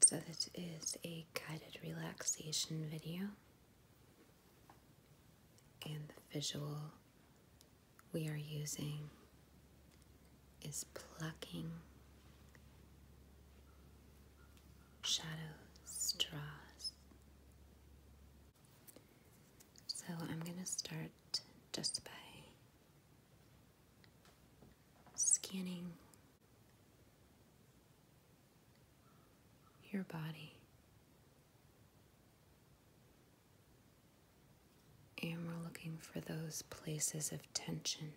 So this is a guided relaxation video and the visual we are using is plucking shadows, straws. So I'm going to start just by scanning your body. And we're looking for those places of tension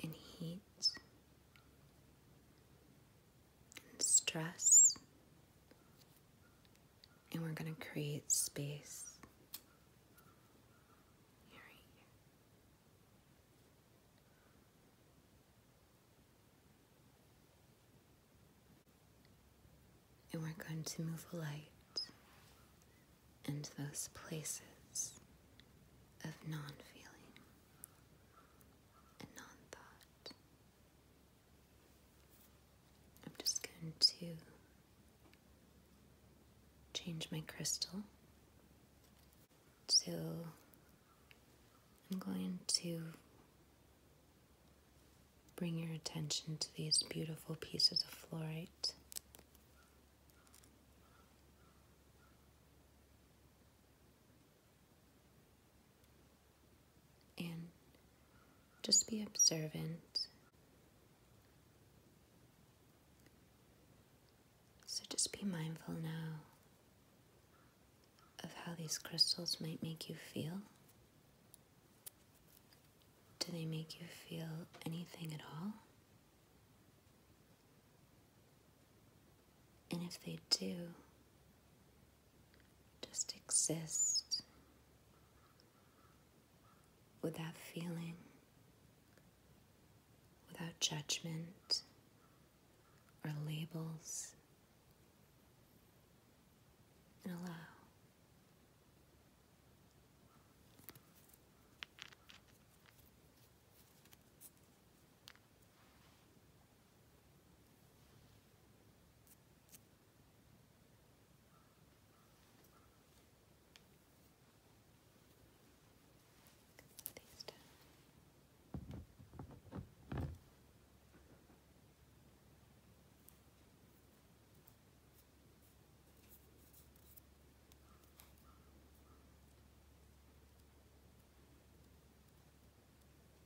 and heat and stress and we're going to create space And we're going to move light and those places of non feeling and non thought. I'm just going to change my crystal. So I'm going to bring your attention to these beautiful pieces of fluorite and just be observant. So just be mindful now of how these crystals might make you feel. Do they make you feel anything at all? And if they do, just exist without feeling, without judgment or labels, and allow. These down. There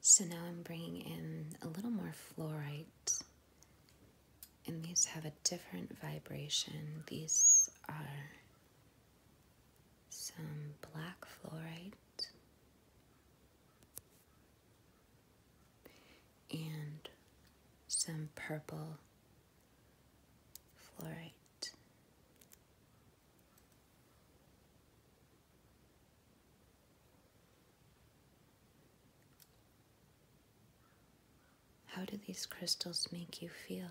So now I'm bringing in a little more fluorite. And these have a different vibration. These are some black fluorite and some purple fluorite. How do these crystals make you feel?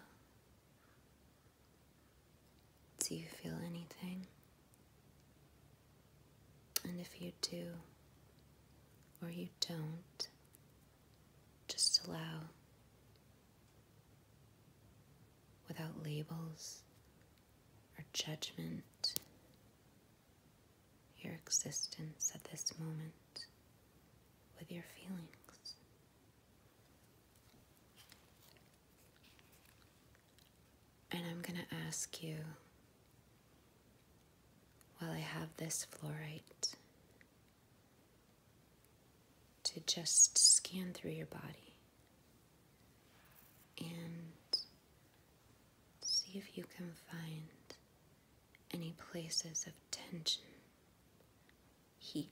Do you feel anything? And if you do or you don't, just allow without labels or judgment, your existence at this moment with your feelings. And I'm going to ask you while I have this fluorite to just scan through your body and see if you can find any places of tension, heat,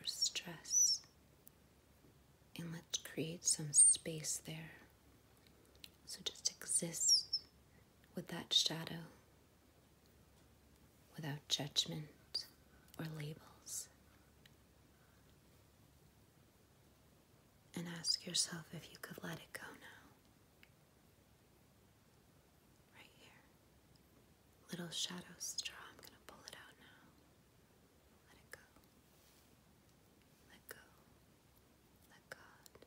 or stress. And let's create some space there. So just exist with that shadow without judgment or labels. And ask yourself if you could let it go now. Right here. Little shadow straw. I'm going to pull it out now. Let it go. Let go. Let God.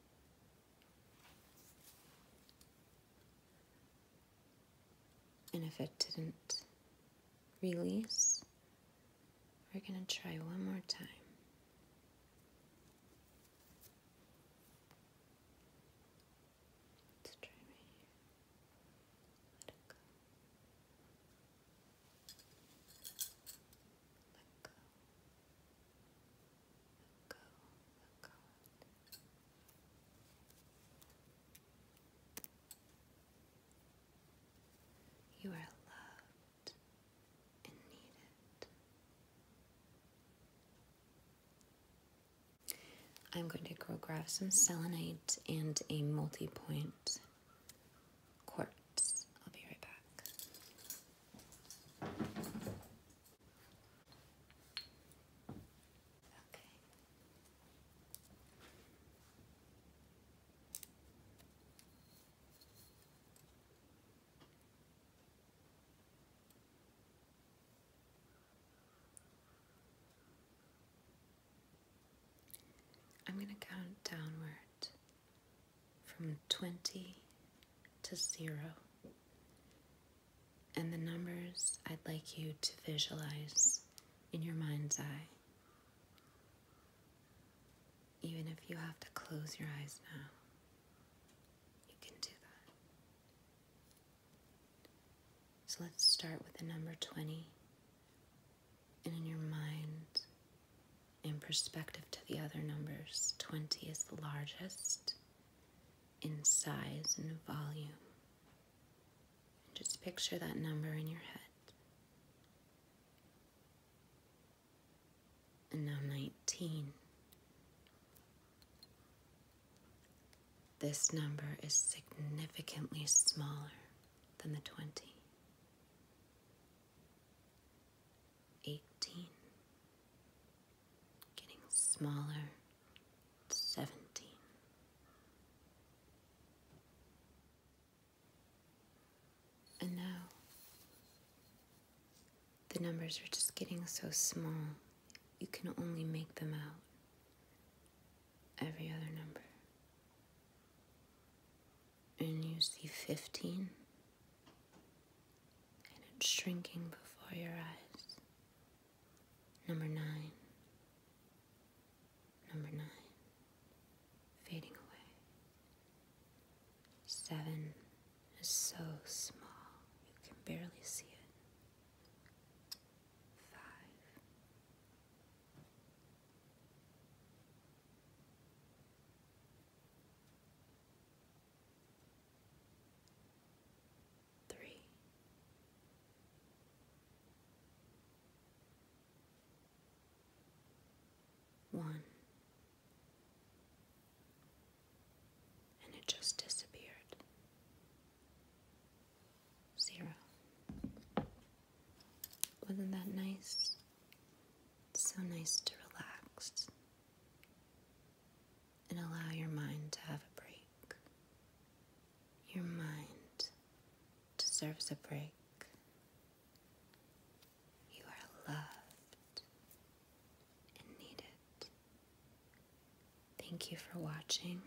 And if it didn't release, we're going to try one more time. Let's try right here. Let it go. Let go. Let go. Let go. You are loved and needed. I'm going to go grab some selenite and a multi-point quartz. I'll be right back. Okay. I'm going to count downward from 20 to 0 and the numbers I'd like you to visualize in your mind's eye. Even if you have to close your eyes now, you can do that. So let's start with the number 20. And in your mind, in perspective to the other numbers, 20 is the largest in size and volume. Just picture that number in your head. And now 19. This number is significantly smaller than the 20. 18. Getting smaller seventeen. And now the numbers are just getting so small, you can only make them out every other number. And you see 15, and it's shrinking before your eyes. Number nine. Number nine. Fading away. Seven is so small you can barely see it. Five three. One, and it just disappeared. Zero. Wasn't that nice? so nice to relax and allow your mind to have a break. Your mind deserves a break. You are loved and needed. Thank you for watching.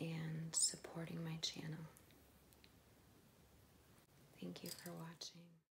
and supporting my channel. Thank you for watching.